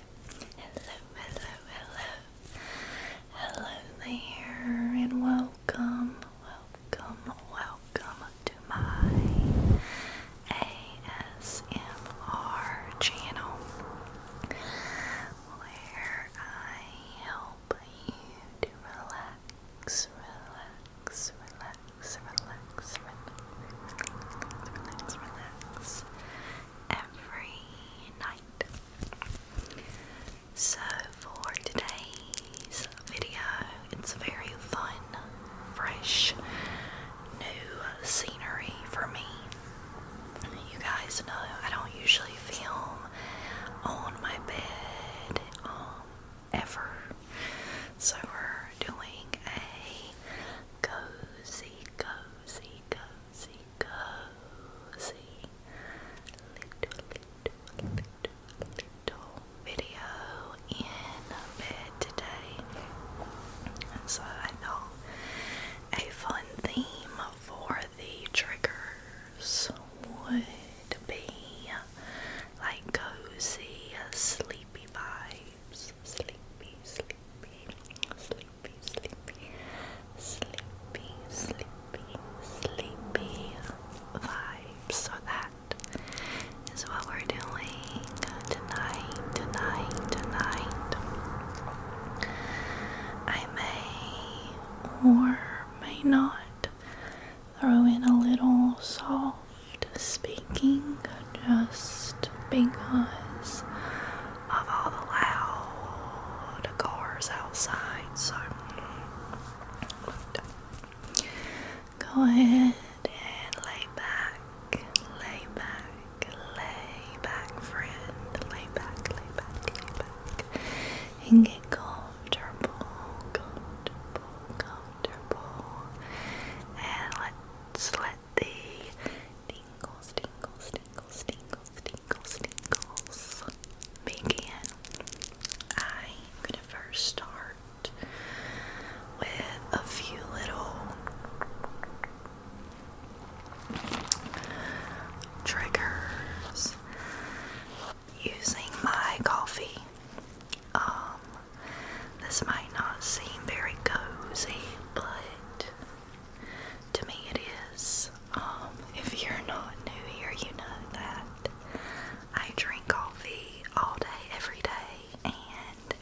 Hello, hello, hello. Hello there, and welcome, welcome, welcome to my ASMR channel where I help you to relax, relax, relax, relax, relax, relax, relax, relax every night. So, for today's video, it's very fun, fresh, new scenery for me. You guys know I don't usually film on my bed um, ever, so we're doing a cozy, cozy, cozy cozy, little, little, little, little video in bed today. so I thought a fun theme for the triggers would be like cozy, sleepy vibes. Sleepy, sleepy, sleepy, sleepy, sleepy, sleepy, sleepy, sleepy vibes. So that is what we're doing tonight, tonight, tonight. I may or may not throw in a little soft speaking just because of all the loud cars outside. So go ahead and lay back, lay back, lay back, friend. Lay back, lay back, lay back, and get comfortable, comfortable, comfortable, and let's let at the tingles, tingles, tingles, tingles, tingles, tingles begin. I'm gonna first start with a few little triggers using my coffee. Um, this might not seem very cozy, but to me, it is. Um, if you're not new here, you know that I drink coffee all day, every day, and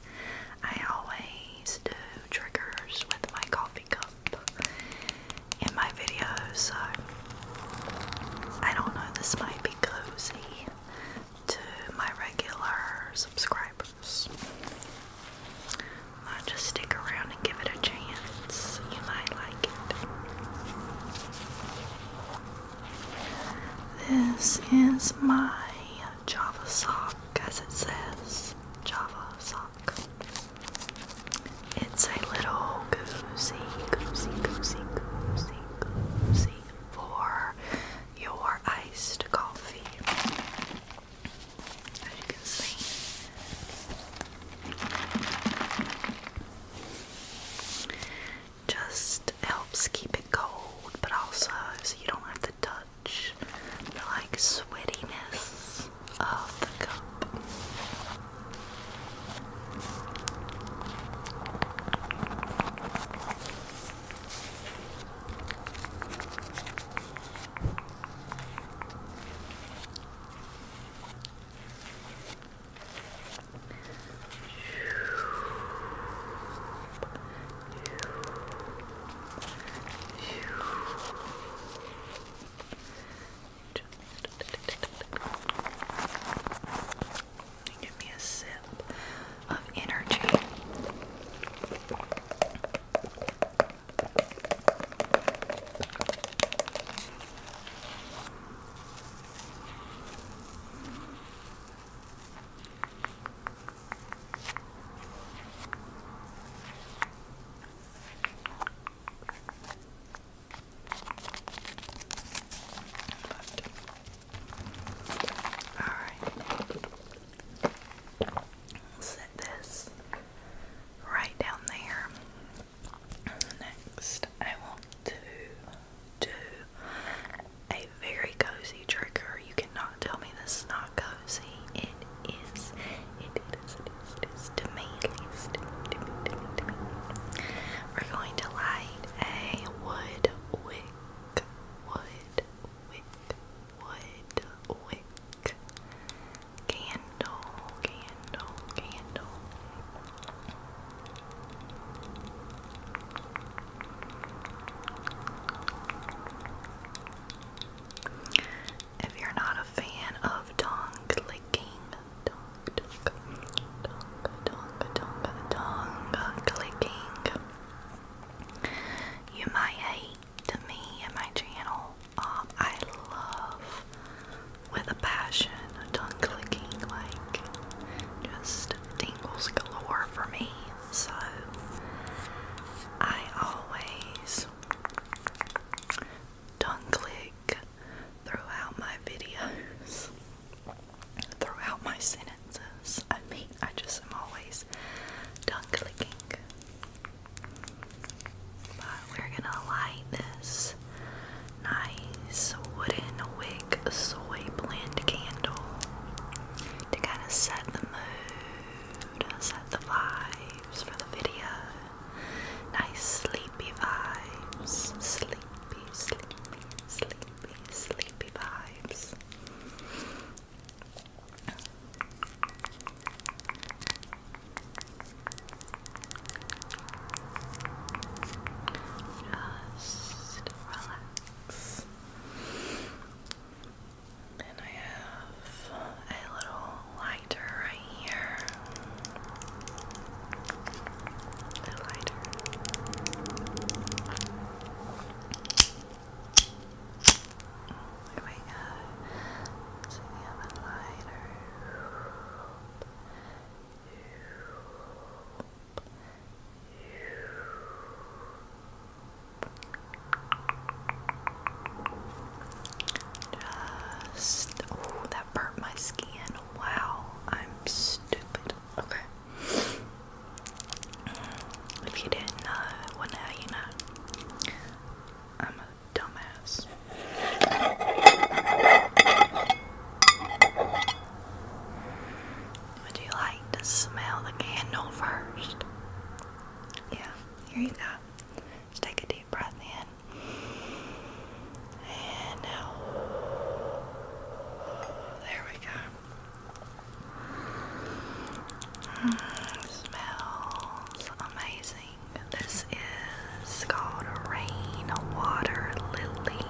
I always do triggers with my coffee cup in my videos. So I don't know, this might be cozy to my regular subscribers else. Might just stick around and give it a chance. You might like it. This is my Java sock, as it says. Java sock. It's a little goosey, goosey, goosey, goosey, goosey for your iced coffee as can see. Just helps keep it cold, but also so you don't have to touch the like sweatiness of the cup. Give me a sip of energy. But, all right. Set this right down there. Next, I want to do a very cozy trigger. You cannot tell me this is not cozy. It is. It is. It is. It is to We're going to light a wood wick, wood wick, wood wick, Candle, candle, candle. If you're not a fan of tongue clicking, tongue, tongue, tongue, tongue, tongue, tongue you might hate to me and my channel. Um, I love with a passion tongue clicking, like just tingles galore for me. So I always tongue click throughout my videos, throughout my sentences. I mean, I just am always tongue clicking we're gonna light this nice wooden wick soy blend candle to kind of set the mood, set the vibes for the video. Nice sleepy vibes. Sleepy, sleepy, sleepy, sleepy vibes. Just relax. And I have a little lighter right here. lighter. There we go. So we lighter. Just, oh, that burnt my skin. Wow, I'm stupid. Okay. If you didn't know, well now you know. I'm dumbass. Would you like to smell the candle first? Yeah, here you go. Just take a deep breath in. And now, there we go. smells amazing. This is called Rainwater Lily.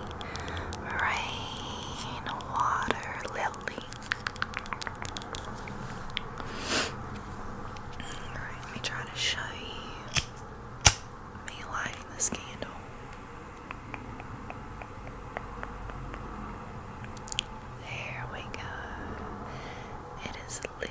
Rainwater Lily. Alright, let me try to show you me lighting this candle. There we go. It is lit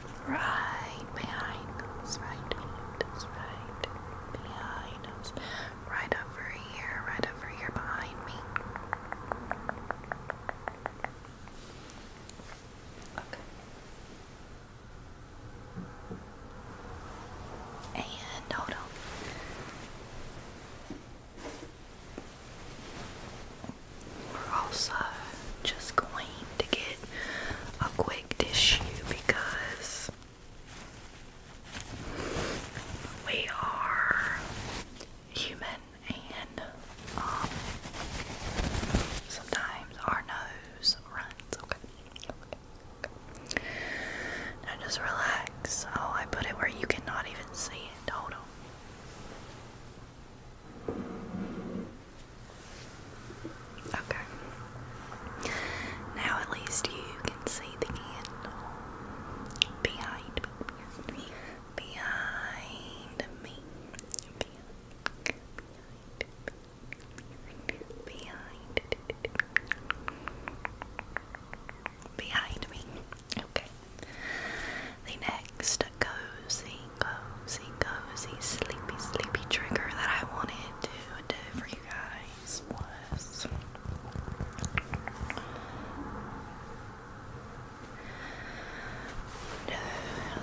right behind us, right behind right behind us, right over here, right over here behind me. Okay. And hold on. We're also just going to get a quick tissue because we are human and um, sometimes our nose runs. Okay. okay. Now just relax. Oh, I put it where you cannot even see it. Hold on. Okay. Now at least you can see the candle behind me. Behind me. Behind. Behind. Behind. Behind me. Okay. The next cozy, cozy, cozy, sleepy, sleepy trigger that I wanted to do for you guys was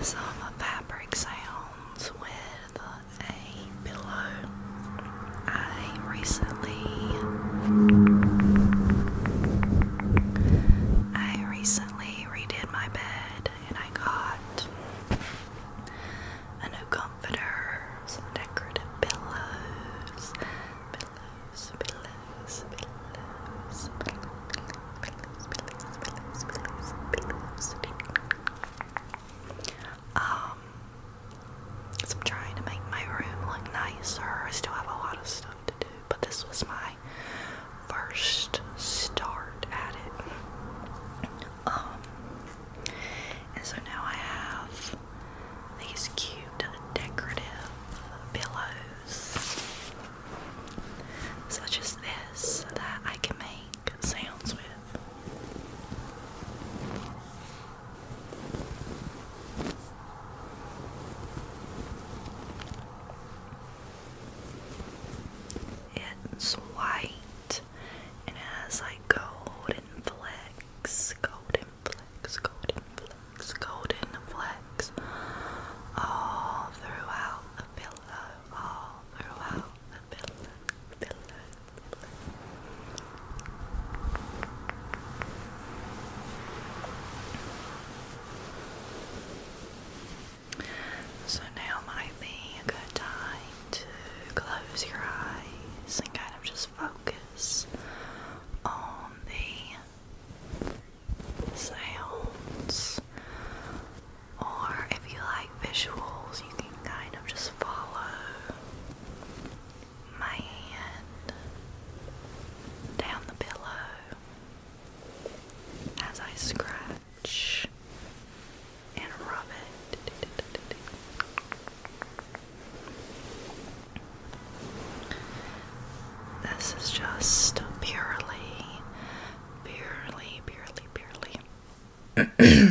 some fabric sounds with a pillow. I recently. I recently redid my bed and I got a new comforter, some decorative pillows, pillows, pillows, pillows, pillows, pillows, pillows, pillows, pillows, um, so I'm trying to make my room look nicer. I still have a lot of stuff to do, but this was my first start at it. Um, and so now I have these cute decorative pillows, such as this, that I can make sounds with. It's white and it has like golden flecks, golden flecks, golden flecks, golden flecks all throughout the pillow, all throughout the pillow, pillow, so now might be a good time to close your eyes and kind of just focus on the sounds. Or if you like visuals, you can kind of just follow my hand down the pillow as I scratch and rub it. This is just purely, purely, purely, purely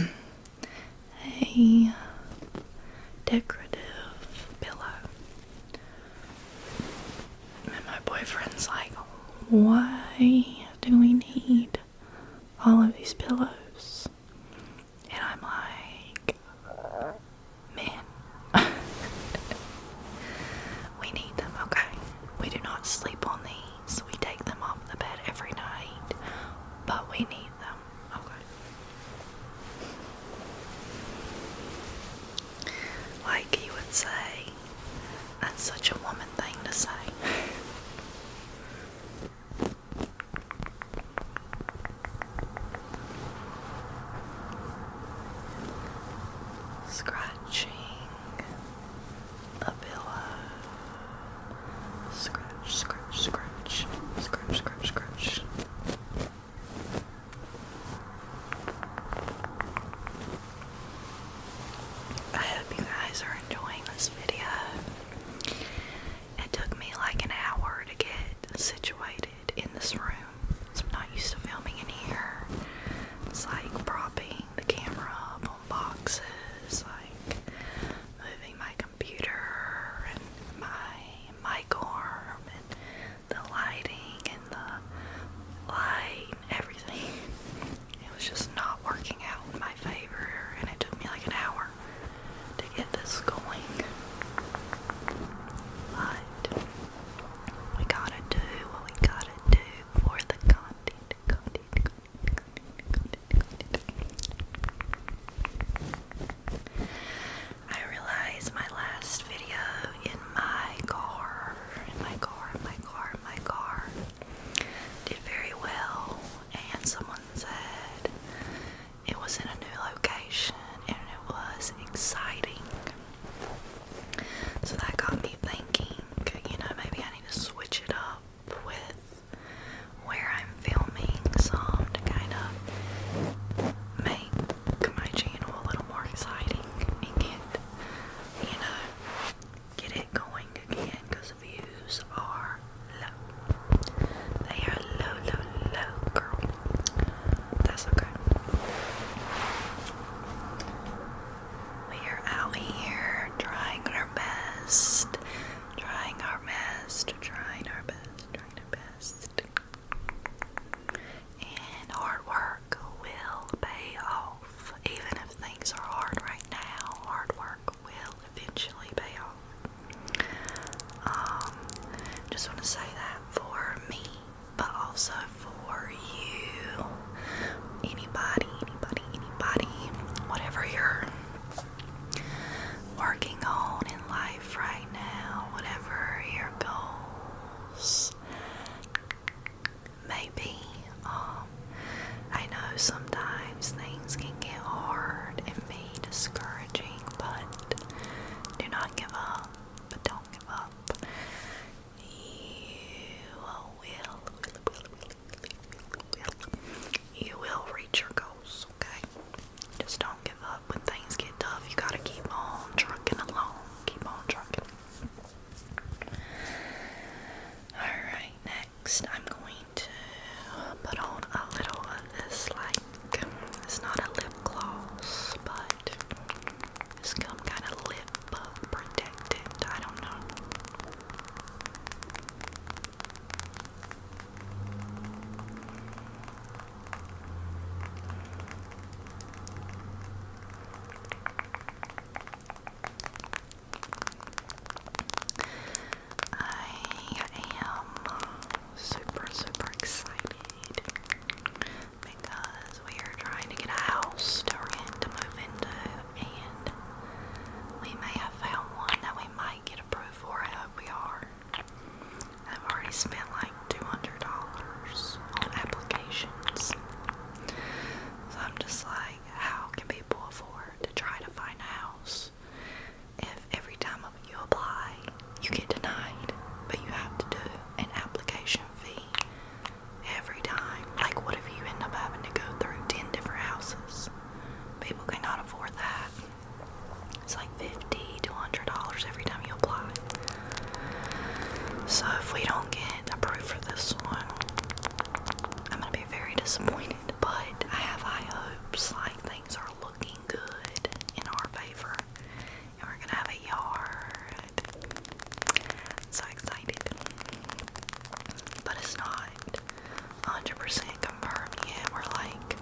a decorative pillow. And my boyfriend's like, why do we need all of these pillows? And I'm like, man, we need them, okay? We do not sleep on these. We take them off the bed every night, but we need them, okay? Like you would say, that's such a woman thing to say. Scratching a pillow. Scratch, scratch, scratch, scratch, scratch, scratch. I hope you guys are enjoying this video. It took me like an hour to get situated in this room. I'm not used to filming in here. It's like propping the camera up on boxes, like moving my computer and my mic arm and the lighting and the light everything. It was just not working out in my favor, and it took me like an hour to get this going. we gotta do what we gotta do for the content. I realized my last video in my car, in my car, in my car, in my car did very well, and someone said it was in a new location and it was exciting. So that got me thinking, you know, maybe I need to switch it up with where I'm filming some to kind of make my channel a little more exciting and get, you know, get it going again because views are low. They are low, low, low, girl. That's okay. We are out here trying our best, trying our best, trying our best, trying our best. And hard work will pay off. Even if things are hard right now, hard work will eventually pay off. Um, just want to say that for me, but also for you. Anybody, anybody, anybody, whatever you're working on in life right now, whatever your goals Maybe. Um, I know sometimes things can get hard and be discouraging, but do not give up. But don't give up. You will, will, you will reach your goals, okay? Just don't give up when things get tough. You gotta keep on trucking along. Keep on trucking. Alright, next I'm going to put on a little of this, like, it's not a lip gloss, but it's some kind of lip protected. I don't know. I am super, super excited because we are trying to get a house to rent to move into, and we may have found one that we might get approved for. I hope we are. I've already spent like $200 on applications. So I'm just like, how can people afford to try to find a house if every time you apply you get denied, but you have to do an application fee every time? Like what if you end up having to go through ten different houses? People cannot afford that. It's like fifty to hundred dollars every time you apply. So if we don't get approved for this one, I'm gonna be very disappointed, but I have high hopes. Like things are looking good in our favor, and we're gonna have a yard. so excited, but it's not 100% confirmed yet. We're like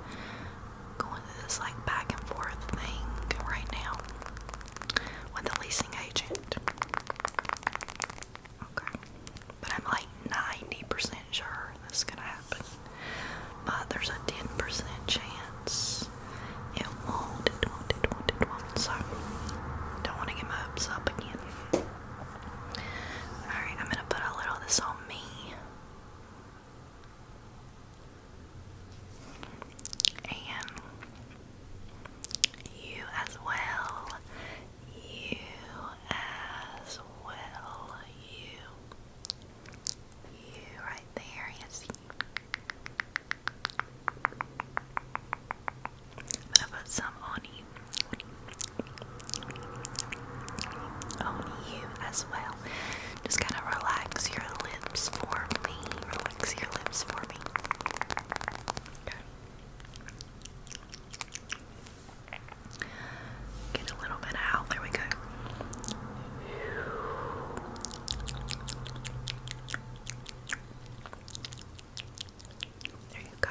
going through this like back and forth thing right now with the leasing agent. Okay. But I'm like 90% sure this is gonna happen. But there's a 10% chance it won't, it don't want to get my hopes up again. Alright, I'm gonna put a little of this on me. And you as well you as well. You, you right there. Yes. i some on you, you as well. Just kind of relax your lips for me. Relax your lips for me. Okay. Get a little bit out. There we go. There you go.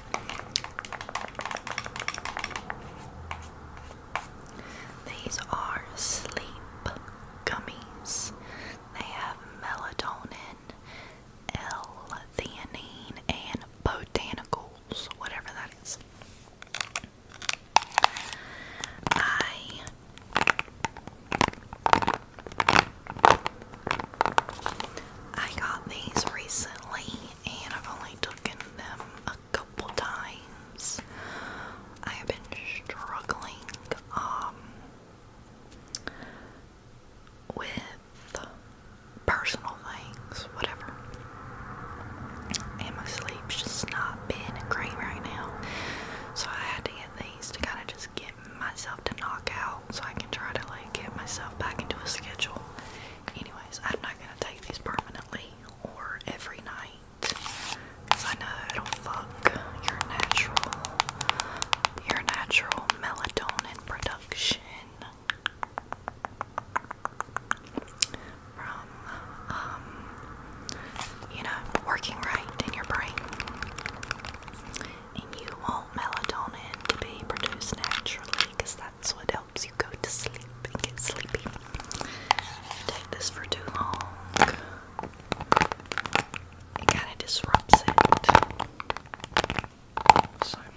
these are sleep gummies. They have melatonin, L-theanine, and botanicals, whatever that is. I I got these recently and I've only taken them a couple times. I have been struggling um, with personal things, whatever. And my sleep's just not been great right now. So I had to get these to kind of just get myself to knock out so I can try to like get myself back into a schedule. Anyways, I'm not gonna take these permanently or every night. Cause I know it'll fuck your natural your natural melatonin production from um you know working right in your brain. And you want melatonin to be produced naturally because that's what helps you go to sleep and get sleepy. Take this for too long, it kind of disrupts it. So, yeah.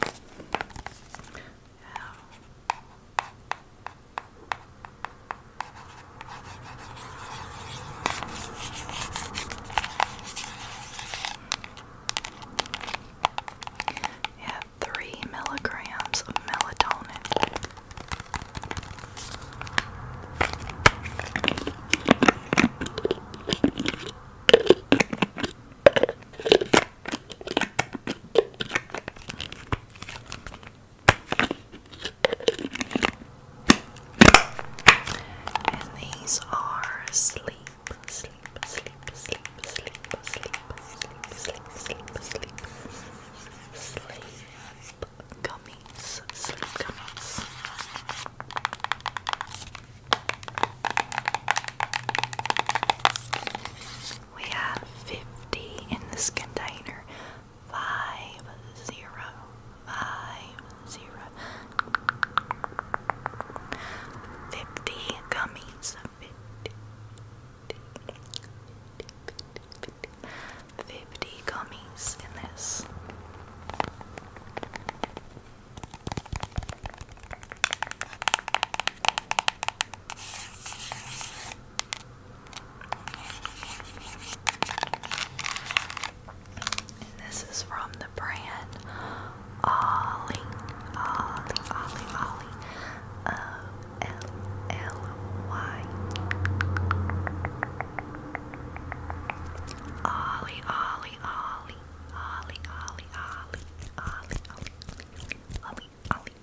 You have three milligrams of melatonin. And these are sleep sleep, sleep, sleep, sleep, sleep, sleep, sleep, sleep, sleep, sleep, gummies, sleep gummies. We have 50 in this container. Five zero. Five zero. Fifty gummies. 50, gummies in this. this is from the brand Ollie, Ollie, Ollie, Ollie, O-L-L-Y. Ollie, Ollie, Ollie, Ollie, Ollie, Ollie, Ollie, Ollie, Ollie,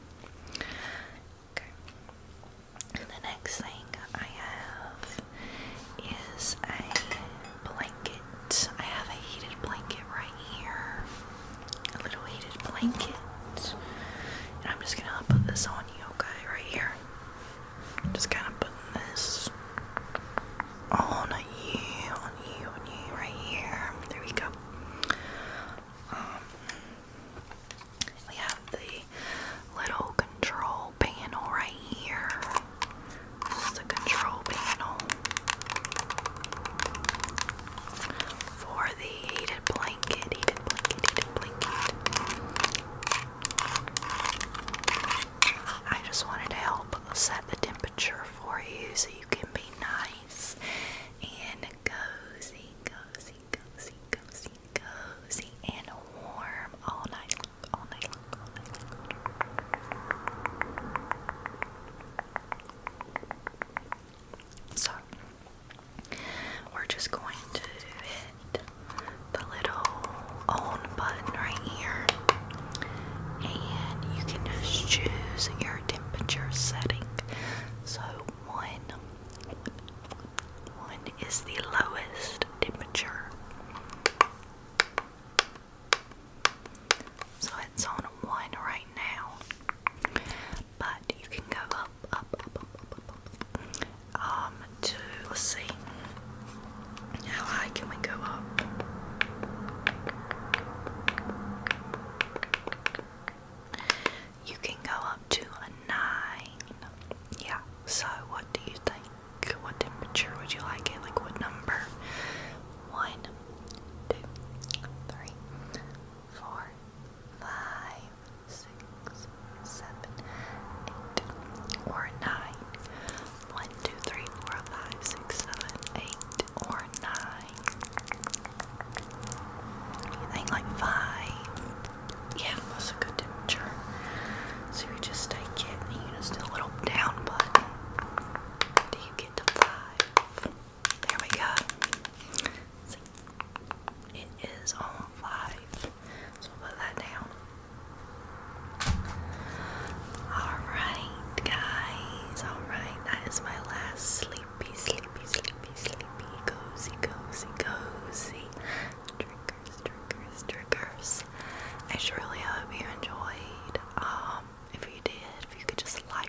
Okay. the next thing I have is a blanket. I have a heated blanket right here. A little heated blanket. And I'm just gonna put this on you, okay, right here. Just kind of putting this on you, on you, on you, right here. There we go. Um, we have the little control panel right here. This is the control panel for the heated blanket, heated blanket, heated blanket. I just wanted to help set the temperature for you so you can be nice and cozy, cozy, cozy, cozy, cozy, and warm all night long, all night long, all night long. So we're just going to hit the little on button right here, and you can just choose your temperature setting. So one, one is the lowest temperature. So it's on one right now. But you can go up, up, up, up, up, up, um, to, let's see, how high can we go up? You can go up to a nine. Yeah, so what do you think? What temperature would you like it? Like what number? One, one, two, three, four, five, six, seven, eight, or nine. One, two, three, four, five, six, seven, eight, or nine. You like five? Yeah, that's a good temperature. So you just take it you just do a little down button. Do you get to five? There we go. it is on live. So put that down. Alright, guys. Alright, that is my last sleepy, sleepy, sleepy, sleepy, cozy, cozy, cozy. Triggers, triggers, triggers. I just hope you enjoyed. Um, if you did, if you could just like